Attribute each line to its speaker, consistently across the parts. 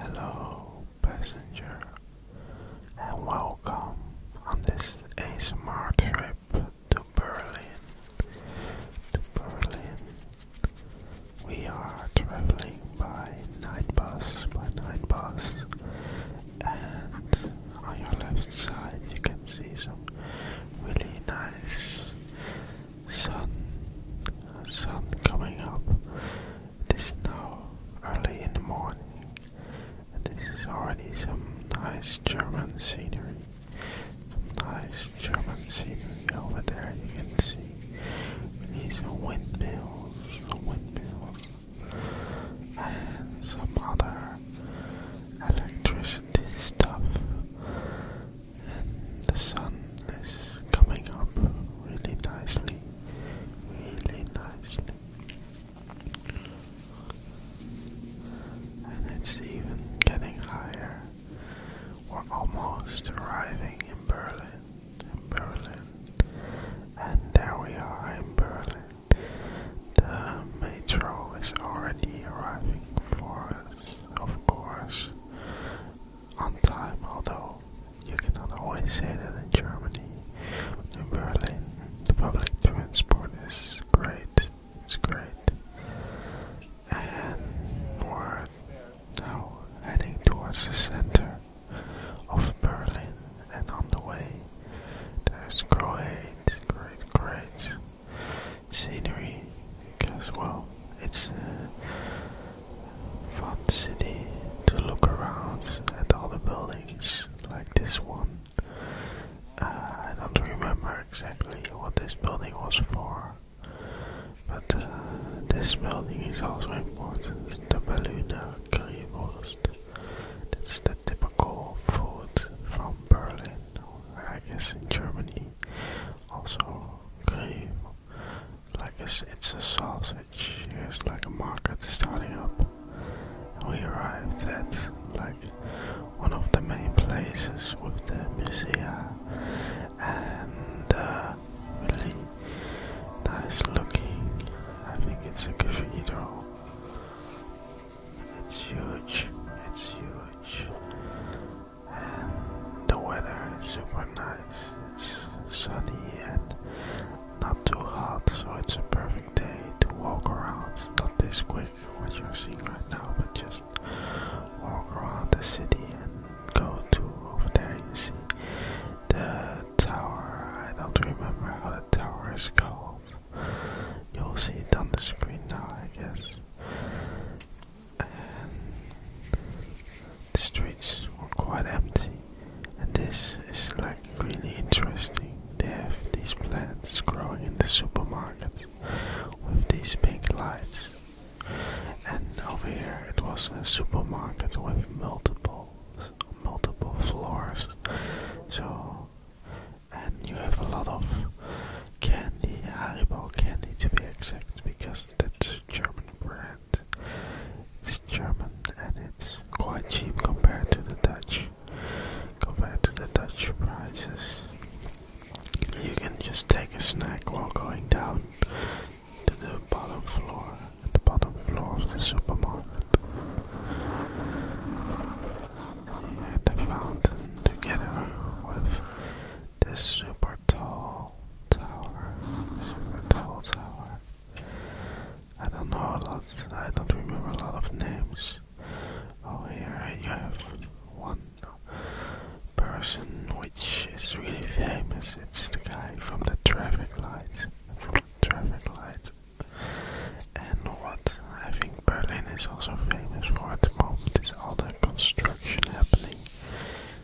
Speaker 1: Hello, passenger, and welcome on this ASMR trip to Berlin. To Berlin, we are traveling by night bus, by night bus, and on your left side you can see some really nice sun, sun coming up. It is now early in the morning, and this is already some nice German scenery. Some nice German scenery over there, you can see. these need windmills, windmills, and some other electricity stuff. And the sun is coming up really nicely really nicely. And it's even getting higher. We're almost arriving in Berlin. In Berlin. And there we are in Berlin. The metro is already arriving for us, of course on time, although you cannot always say that in Germany. In Berlin, the public transport is great. It's great. And we're now heading towards the center of Berlin, and on the way, there's great, great, great scenery as well, it's. Uh, from the city to look around at all the buildings like this one. Uh, I don't remember exactly what this building was for, but uh, this building is also important. The Berliner Currywurst. That's the typical food from Berlin, I guess in Germany. Also, curry like it's, a sausage. It's like a market starting up. We arrived at like one of the main places with the museum and uh, really nice looking. I think it's a cathedral. It's huge. It's huge. And the weather is super nice. It's sunny and not too hot, so it's a perfect day to walk around. Not this quick, what you're seeing right now, but just walk around the city and go to over there. You see the tower. I don't remember how the tower is called. You'll see it on the screen now, I guess the streets were quite empty. And this is like really interesting. They have these plants growing in the supermarkets with these pink lights. And over here it was a supermarket with multiple multiple floors. So and you have a lot of candy, Haribo candy to be exact, because that's German brand. It's German and it's quite cheap compared to the Dutch. Compared to the Dutch prices, you can just take a snack while going down to the bottom floor, the bottom floor of the supermarket. At the fountain, together with this super tall tower. Super tall tower. I don't know a lot. I don't remember a of names. Oh, here you have one person which is really famous. It's the guy from the traffic lights. From the traffic lights. And what I think Berlin is also famous for at the moment is all the construction happening.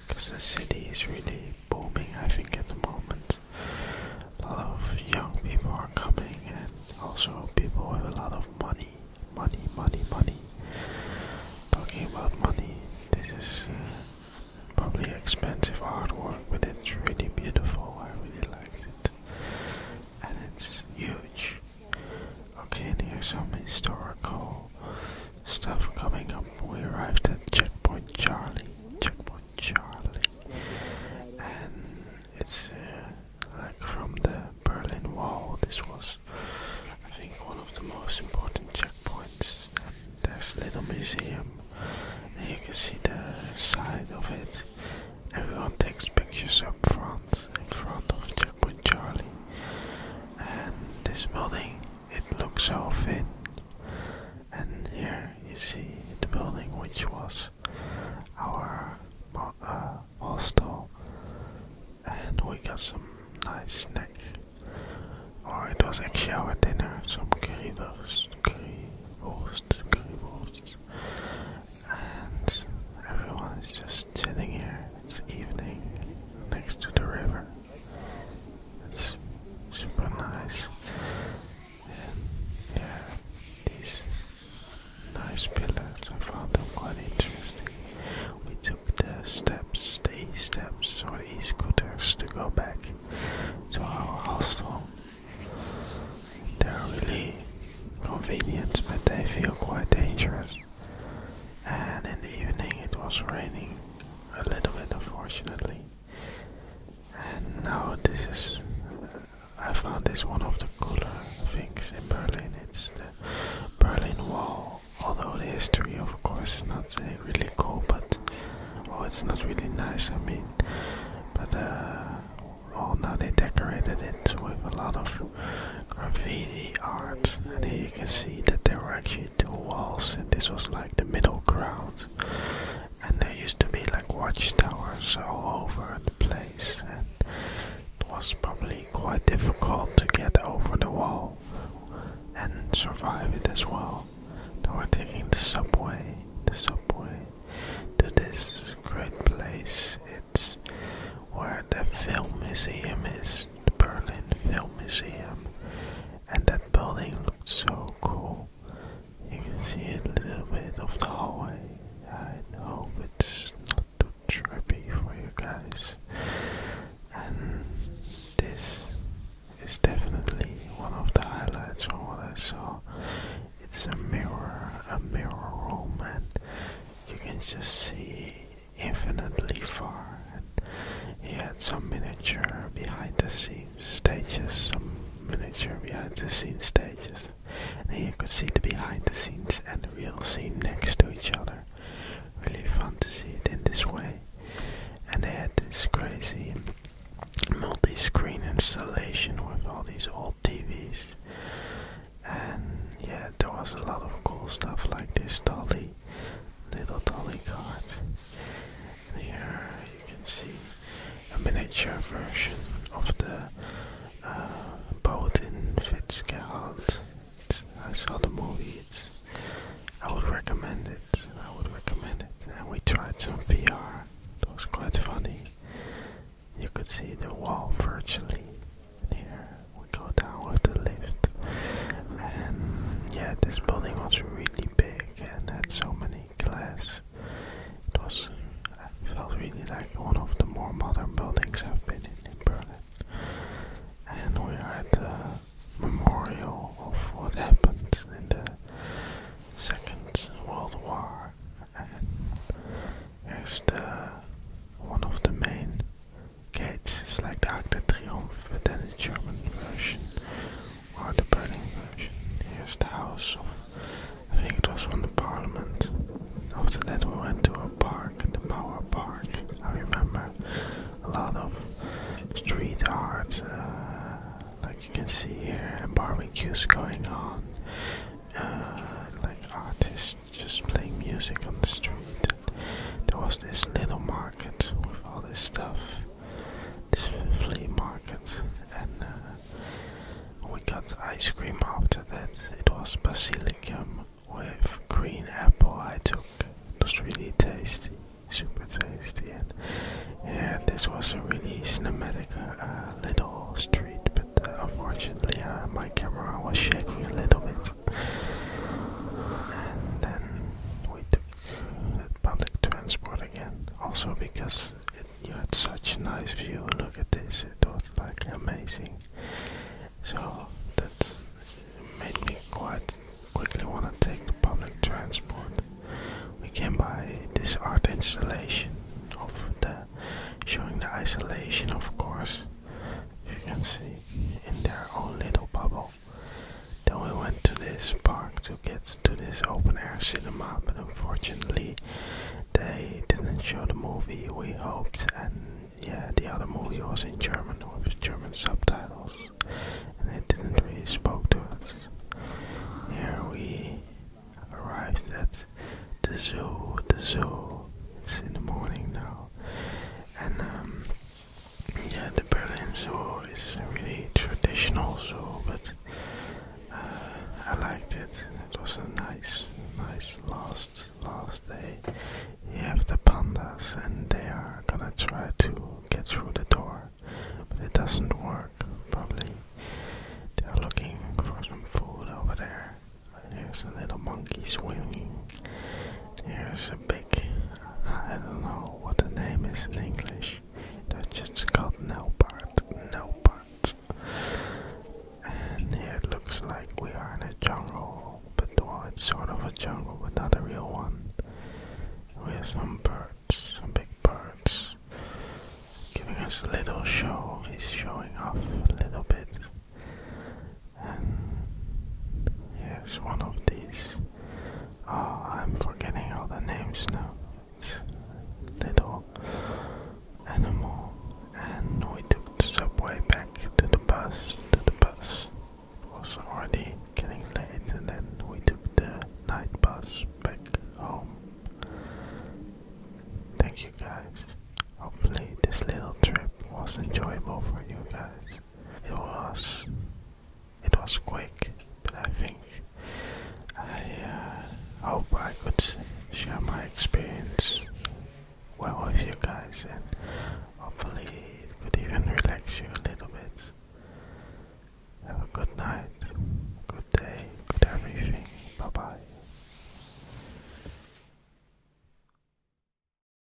Speaker 1: Because the city is really booming, I think, at the moment. A lot of young people are coming, and also people with a lot of money, money, money, money. Talking about money, this is uh, probably expensive artwork, but it's really beautiful. I really like it, and it's huge. Okay, and here's some historical stuff coming up. We arrived at Checkpoint Charlie. Checkpoint Charlie. And it's uh, like from the Berlin Wall. This was, I think, one of the most important checkpoints. there's a little museum. And you can see the side of it. Everyone takes pictures up front, in front of Checkpoint Charlie. And this building it looks all thin. And here you see the building which was our hostel, uh, and we got some nice snack. Or it was actually our dinner, some currywurst, currywurst, currywurst. And everyone is just chilling here. It's evening next to the river. It's super nice. yeah, these nice pillars, I found them quite interesting. We took the steps, the steps or these e scooters to go back to our hostel. They're really convenient, but they feel quite dangerous. And in the evening, it was raining a little bit unfortunately. And now this is, uh, I found this one of the cooler things in Berlin. It's the Berlin Wall. Although the history, of course, not really cool, but oh, it's not really nice. I mean, but uh, well, now they decorated it with a lot of graffiti art, and here you can see that there were actually two walls, and this was like the middle ground. And there used to be like watchtowers all over the place, and it was probably quite difficult to get over the wall and survive it as well. Now we're taking the subway, the subway to this great place. It's where the film museum is, the Berlin Film Museum and that building looked so cool. You can see a little bit of the hallway. I know it's not too trippy for you guys. And this is definitely one of the highlights from what I saw. It's a mirror, a mirror room, and you can just see infinitely far. And he had some miniature behind the scenes stages, some miniature behind the scenes stages. And you could see the behind the scenes and the real scene next to each other. Really fun to see it in this way. And they had this crazy multi-screen installation with all these old TVs. And yeah, there was a lot of cool stuff like this dolly little dolly cart. here you can see a miniature version of the uh, boat in Fitzgerald. I saw the movie. It's, I would recommend it. I would recommend it. And we tried some VR. It was quite funny. You could see the wall virtually here we go down with the lift and yeah this building was really big and had so many glass it was felt really like one of the more modern buildings I've been in in Berlin and we are at the memorial of what happened in the Second World War and it's the one of the main Gates is like the Arc of Triomphe, but in the German version or the Berlin version. Here's the house of, I think it was from the parliament. After that we went to a park, the Mauer Park. I remember a lot of street art, uh, like you can see here, and barbecues going on. Uh, like artists just playing music on the street there was this little market with all this stuff, this flea market, and uh, we got ice cream after that. It was basilicum with green apple. I took it was really tasty, super tasty, and yeah, this was a really cinematic uh, little street. But uh, unfortunately, my camera was shaking a little bit. And then we took the public transport again. Also because it, had such a nice view. Look at this. It was like amazing. So that made me quite quickly want to take the public transport. We came by this art installation of the showing the isolation of course you can see in their own little bubble then we went to this park to get to this open air cinema, but unfortunately, they didn't show the movie we hoped, and yeah, the other movie was in German with German subtitles, and it didn't really spoke to us. Here we arrived at the zoo. The zoo. It's in the morning now, and um, yeah, the Berlin Zoo is really traditional zoo, but uh, I liked it. It was a nice, nice last last day. You have the pandas, and they are gonna try to get through the door, but it doesn't work. Probably they are looking for some food over there. There's a little monkey swimming. Here's a big, I don't know what the name is in English. That's just called Nelpart. Nelpart. And here it looks like we are in a jungle, but well, it's sort of a jungle, but not a real one. We have some birds, some big birds, giving us a little show. He's showing off a little bit and here's one of these. Oh, I'm forgetting all the names now. It's animal, and we took the subway back to the bus. To the bus it was already getting late, and then we took the night bus back home. Thank you guys. Hopefully, this little trip was enjoyable for you guys. It was it was quick, but I think I uh, hope I could share my experience well with you guys, and hopefully it could even relax you a little bit. Have a good night, good day, good everything. Bye bye.